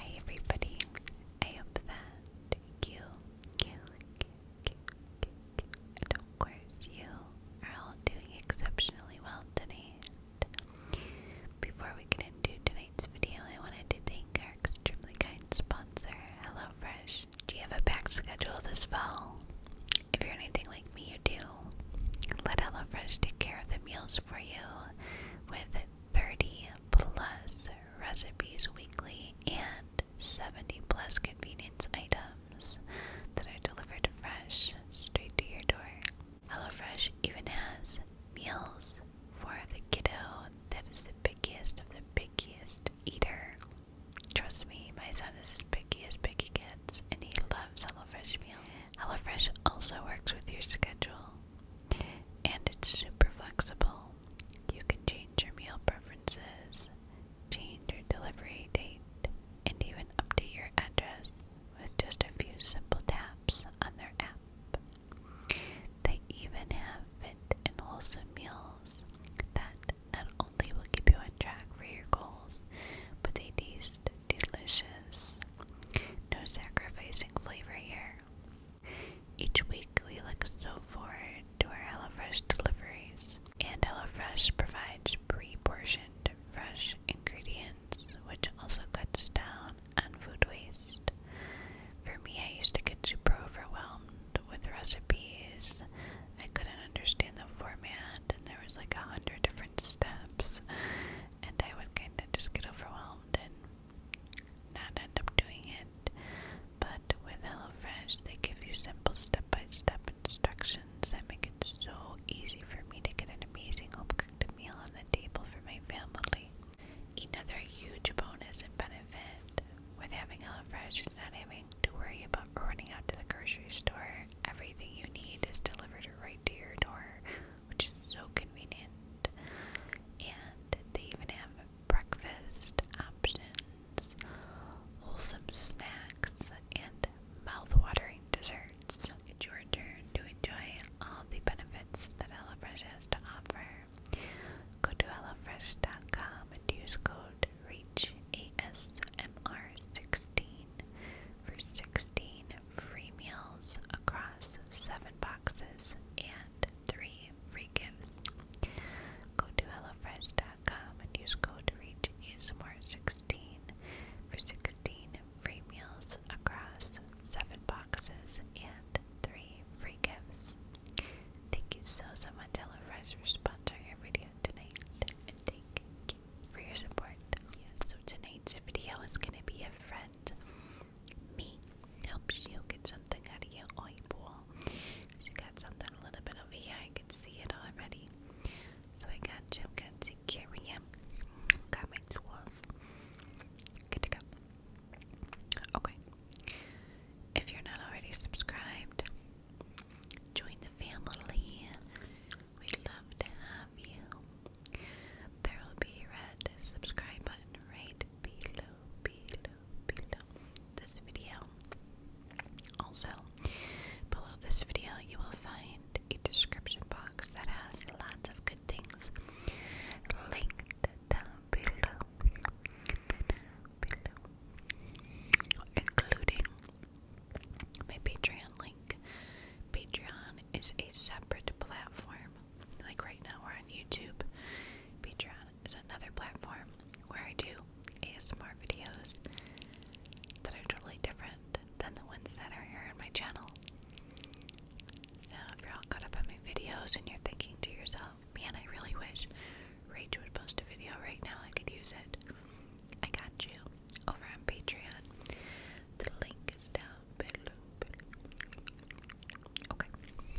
Hey everybody, I hope that you, you, you, you, you, of course you are all doing exceptionally well today. before we get into tonight's video, I wanted to thank our extremely kind sponsor, HelloFresh. Do you have a packed schedule this fall? If you're anything like me, you do. Let HelloFresh take care of the meals for you with 30 plus recipes weekly and 70 plus convenience items that are delivered fresh straight to your door. HelloFresh even has meals for the kiddo that is the biggest of the biggest eater. Trust me, my son is as picky as picky gets, and he loves HelloFresh meals. HelloFresh also works with your schedule and it's super flexible. You can change your meal preferences, change your delivery date, and even update your address with just a few simple taps on their app. They even have fit and wholesome meals that not only will keep you on track for your goals, but they delicious. No sacrificing flavor here. Each week we look so forward to our HelloFresh deliveries, and HelloFresh provides pre-portioned fresh ingredients, which also cuts down on food waste. For me, I used to get super overwhelmed with recipes. I couldn't understand the format, and there was like a hundred different steps, and I would kind of just get overwhelmed and not end up doing it. But with HelloFresh, they give you simple step by step instructions that make it so easy for me to get an amazing home cooked meal on the table for my family. Another huge bonus and benefit with having HelloFresh is not having to worry about running out to the grocery store. Everything you need is delivered right to your door which is so convenient. And they even have breakfast options, wholesome snacks, and mouth-watering desserts. It's your turn to enjoy all the benefits that Fresh has to offer. Go to HelloFresh.com and use code REACHASMR16 for 16 free meals across seven boxes and three free gifts. Go to HelloFresh.com and use code ReachASMR16 for 16 free meals across seven boxes and three free gifts. Thank you so much much HelloFresh for sponsoring our video tonight thank you for your support. Yeah, so tonight's video is gonna be a friend. Me helps you get something out of your eyeball. She got something a little bit over here. I can see it already. So I got you. i to take care Got my tools. Good to go. Okay. If you're not already subscribed, join the family. We'd love to have you. There will be a subscribe button right below, below, below this video. Also, below this video, you will find a description box that has lots of good things linked down below, down below including my Patreon link. Patreon is a separate platform. Like right now, we're on YouTube. Patreon is another platform where I do ASMR videos that are totally different than the ones that are here on my channel. So, if you're all caught up on my videos and you're thinking to yourself, man, I really wish Rach would post a video right now, I could use it. I got you over on Patreon. The link is down below. Okay,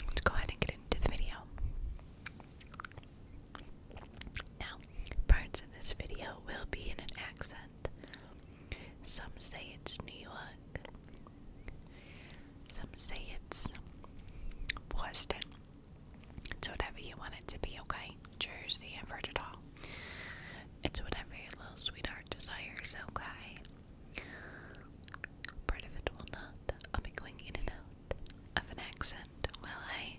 let's go ahead and get into the video. Now, parts in this video will be in an accent. Some say it's New York. Some say it's Boston. It's whatever you want it to be, okay? Jersey, I've it's whatever little sweetheart desires, okay? Part of it will not. I'll be going in and out of an accent while I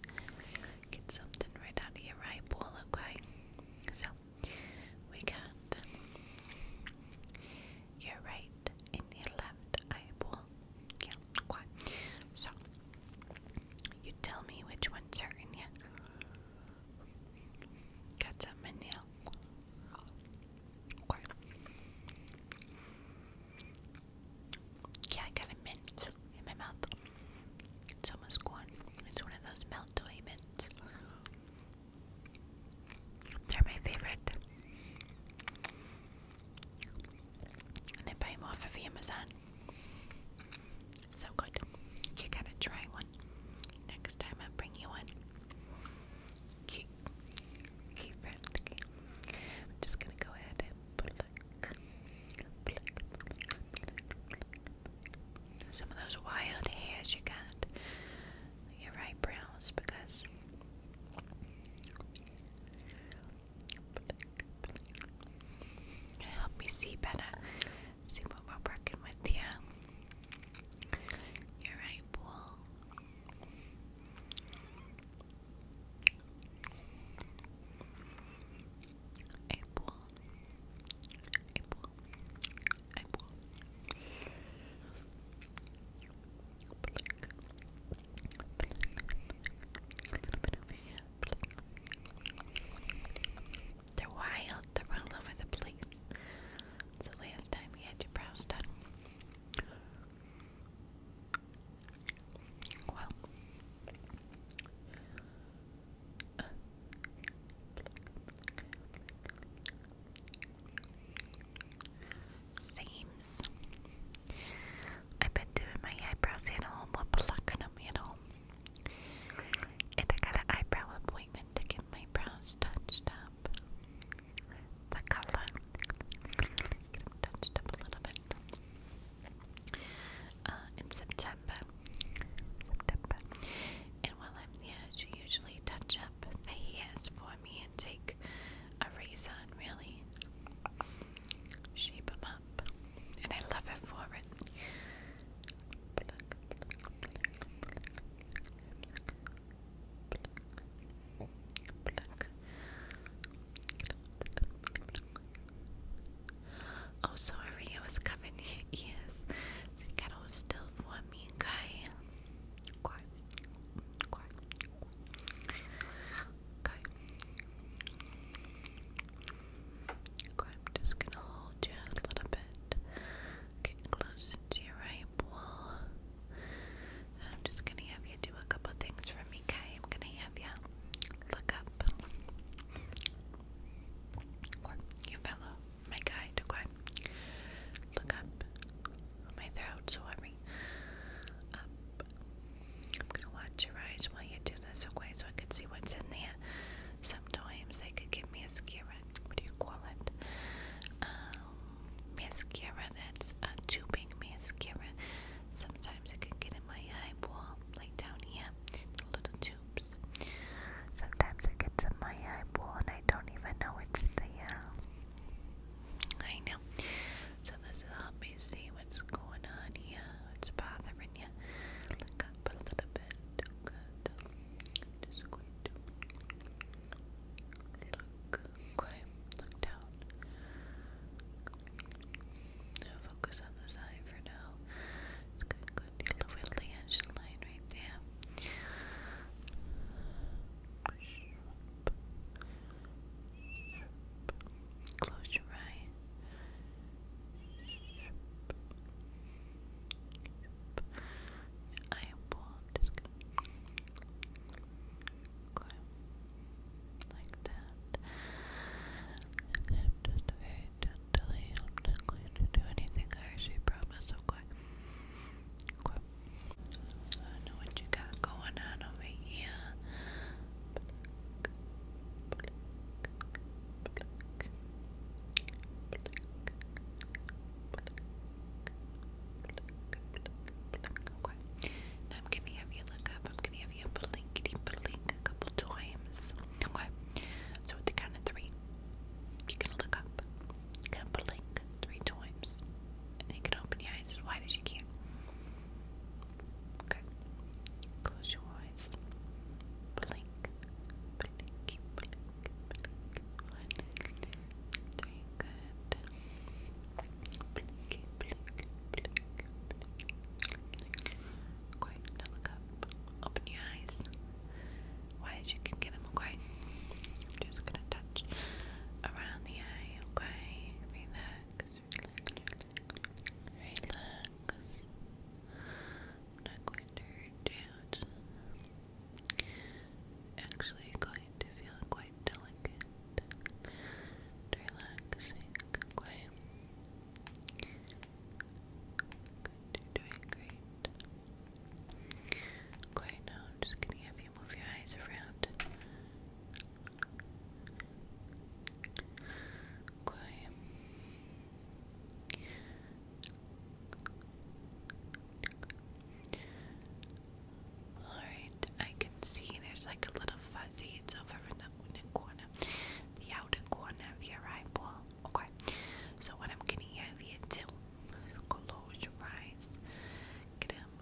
get something right out of your eyeball, okay? So, we got your right and your left eyeball. Yeah, okay. So, you tell me which one's hurting you. Got something in there. Yeah, I got a mint in my mouth. It's almost gone. It's one of those melt mints. They're my favorite. And I buy them off of Amazon. So good. You gotta try one. Next time I bring you one. Keep, keep I'm just gonna go ahead and pluck, pluck, some of those wild hairs you got. Your eyebrows, because. It'll help me see better See what we're working with here. You're right, Paul. April, April, April. A little bit over here. They're wild, they're all over the place. It's last time we had your brows done. Well, seems I've been doing my eyebrows at home, i plucking them at home. And I got an eyebrow appointment to get my brows touched up. The color. Get them touched up a little bit. Uh, in September. September. And while I'm there, she usually touch up the hairs for me and take a razor really shape them up, and I love it for it. Oh, sorry, I was covering your ears. So you got all still for me, okay? Okay. Okay, I'm just gonna hold you a little bit. Get close to your right I'm just gonna have you do a couple things for me, okay? I'm gonna have you look up. you fellow, my guide, Look up my throat, so up, I'm gonna watch your eyes while you do this, okay? So I can see what's in there. Sometimes they could give me a mascara. What do you call it? Um, mascara that's a tubing mascara. Sometimes it can get in my eyeball, like down here, the little tubes. Sometimes it gets in my eyeball, and I don't even know it's there. I know. So this will help me see what's going on here. What's bothering right here. Look up a little bit. Good. i just going to look. Okay. Look down. focus on this eye for now. It's going to go deal with line right there. Close your eyes. I am Just like that. And then just very not going to do anything harsh. I promise. Okay. I know what you got going on over here, I'm gonna have you look up. I'm gonna have you blinkety blink a couple times. Okay. So with the count of three, you're gonna look up. blink three times. And you can open your eyes as wide as you can. Okay. Close your eyes. Blink. Blink. Blink. Blink. One, two, three. Good. Blink. Blink. Blink. Blink. Okay. Now look up. Open your eyes. Wide as you can get them. Okay. I'm just gonna touch around the eye. Okay. Relax relax, not going to hurt Actually, going to feel quite delicate, relaxing. Okay, You're doing great. Okay, now I'm just gonna have you move your eyes around. Okay. Alright, I can see there's like a little fuzzy. It's over in the inner corner, the outer corner of your eyeball. Okay, so what I'm gonna have you do, close your eyes, get them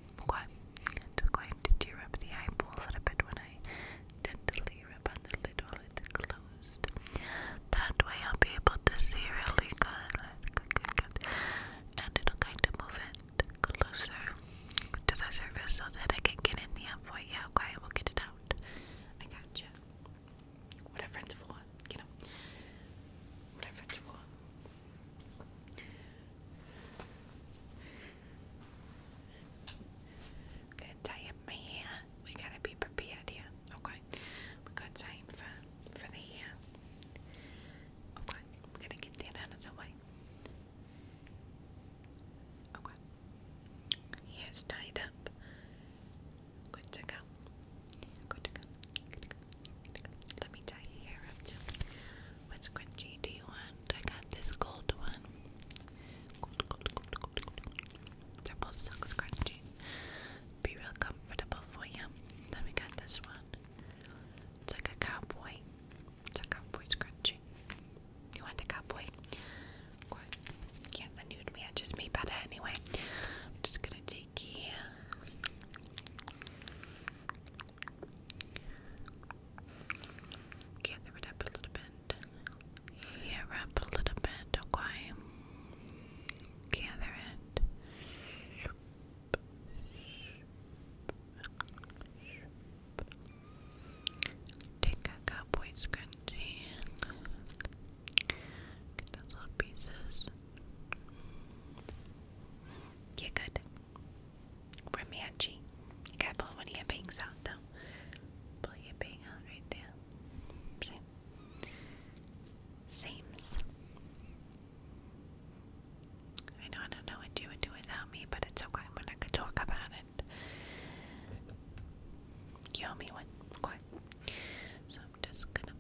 Okay, just going to tear up the eyeballs a little bit when I gently rub on the lid while it's closed. That way I'll be able to see really good, and it'll kind of move it closer to the surface so that I can get in the app for you. Okay, we'll get it out. I gotcha. Whatever it's for, you know. Whatever it's I'm going We gotta be prepared here. Okay. We got time for for the hair. Okay, I'm to get that out of the way. Okay. Hair's tied up. Good to go. Good to go. Let me tie your hair up too. What scrunchie do you want? I got this gold one. They're both silk scrunchies. Be real comfortable for you. Then we got this one. It's like a cowboy. It's a cowboy scrunchie. You want the cowboy? Yeah, the nude matches me better anyway. I'm just gonna take here. Gather it a little bit. Here up a little bit, okay? Gather it. Take a cowboy scrunchie. Get those little pieces. Yeah, good. We're matching. You gotta pull one of your bangs out though. Pull your bang out right there. See? I know I don't know what you would do without me, but it's okay. We're not talk about it. You owe me one. So I'm just gonna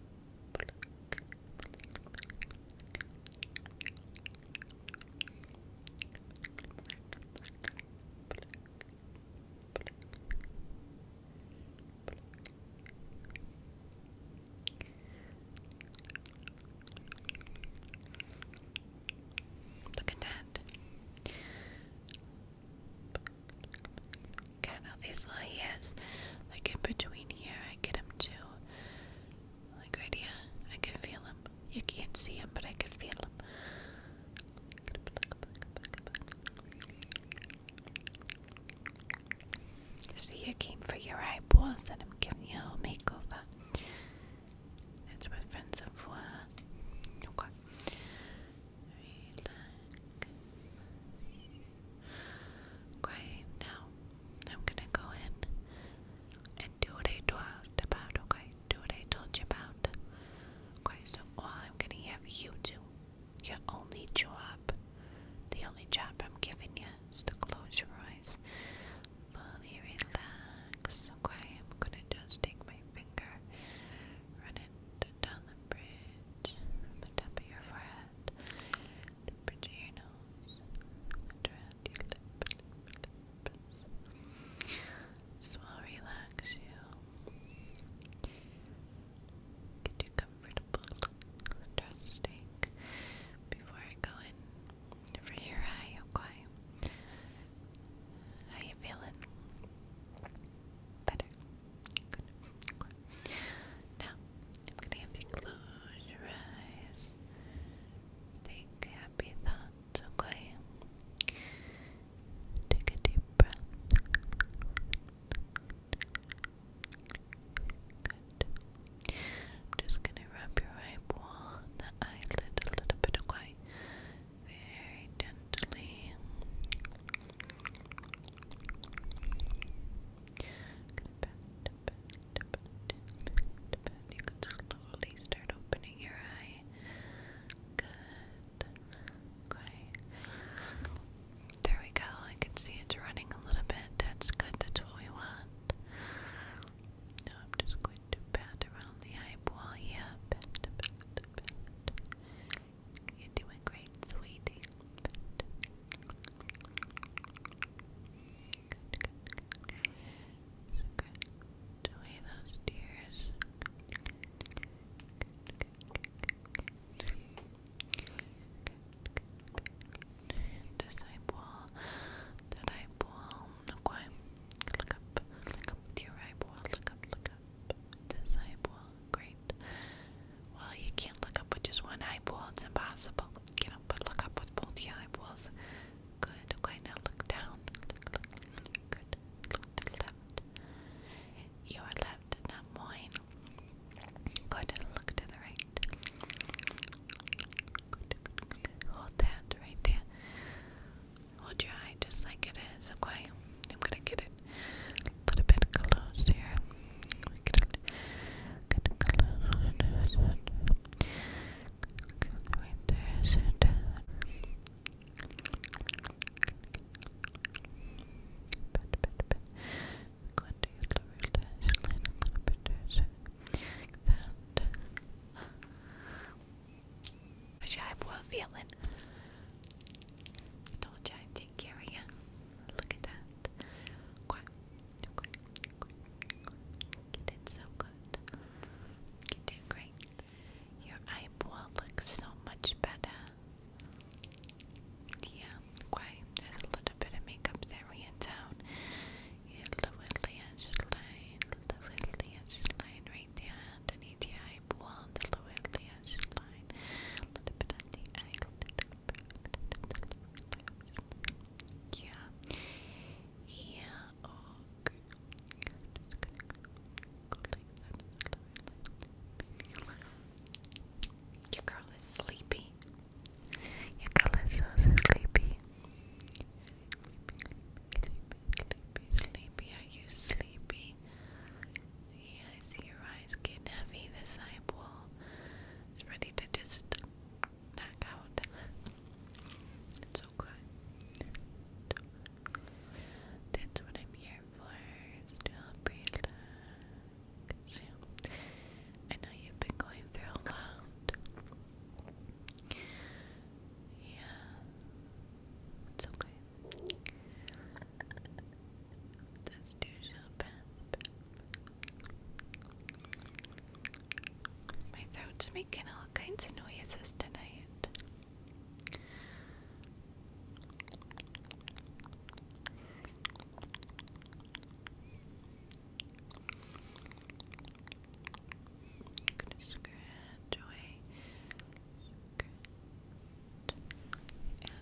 Look at that. Got all these little hairs, like in between here. I get them to like right here, I can feel him. You can't see him, but I can feel him. so you came for your eyeballs, and I'm giving you a makeover. That's what friends are for. Okay, now I'm gonna go in and do what I talked about, okay? Do what I told you about. Okay, so all I'm gonna have you do, your only job, the only job I'm giving you is to close your eyes. Fully relax, okay? I'm gonna just take my finger, run it down the bridge the top of your forehead that. Deep into your nose and around your lip, lip, lips. relax you. Get you comfortable, trusting. Before I go in for your eye, How you feeling? Better. Good. Now, I'm going to have you close your eyes. Think happy thoughts, okay? Take a deep breath. Good. I'm just going to rub your eyeball the eyelid a little bit, okay? Very gently. You can slowly start opening your eye. Good. Okay. There we go. I can see it's running a little bit. That's good. That's what we want. Now I'm just going to pat around the eyeball. Yeah, You're doing great, sweetie. Good. Away those tears. Disciple, that eyeball. Okay, look up, look up with Look up, look up. Disciple, great. Well, you can't look up with just one eyeball, it's impossible. You know, but look up with both eyeballs. Good, okay, now look down. Look, look, good. Look to the left. Your left, not mine. Good, look to the right. good. Hold that right there. Hold your eye just like it is, okay? I'm gonna get it a little bit close here. Get, get close. Right there, sit. Bit, bit, bit. Going to use the relax line a little bit there, so like that. Which I'm well feeling. Told you I'd take care of you. Look at that. Quite Okay. You did so good. You did great. Your eyeball looks so much better. Yeah, okay. There's a little bit of makeup there and down. Yeah, lovely edge line, lovely edge line right there the lovely edge A little bit on the yeah. Yeah. Oh, okay. I'm just gonna go like that. Your girl is sleepy. Your girl is so sleepy. Sleepy, sleepy, sleepy. Are you sleepy? Yeah, I see your eyes getting heavy. This eyeball is ready to just knock out. It's okay. That's what I'm here for, to help relax. Yeah. I know you've been going through a lot. Yeah. It's okay. This dude shall pass. My throat's making all kinds of noises tonight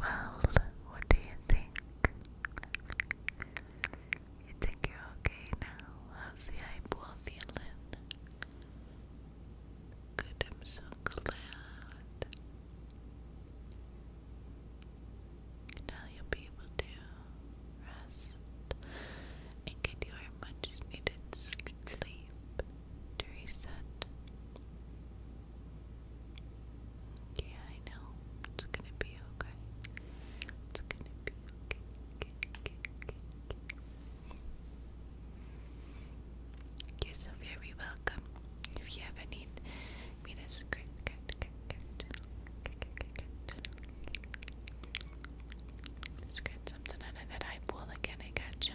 well, what do you think? You think you're okay now? How's the eyeball feeling? Good, I'm so glad. Now you'll be able to rest and get your much needed sleep to reset. Yeah, I know. It's gonna be okay. It's gonna be okay. okay, are so very welcome. If you ever need me to scream, something out of that eyeball again, I gotcha.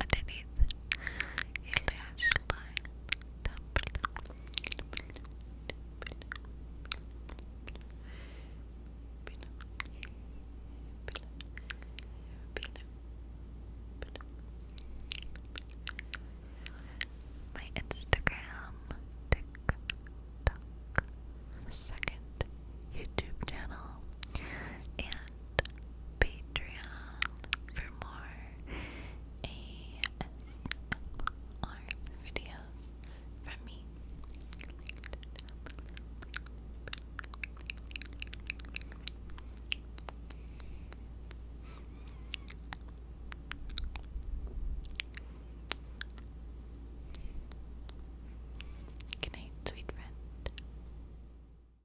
underneath your lash line. My Instagram, TikTok, second YouTube channel, and Patreon for more ASMR videos from me. Good sweet friend.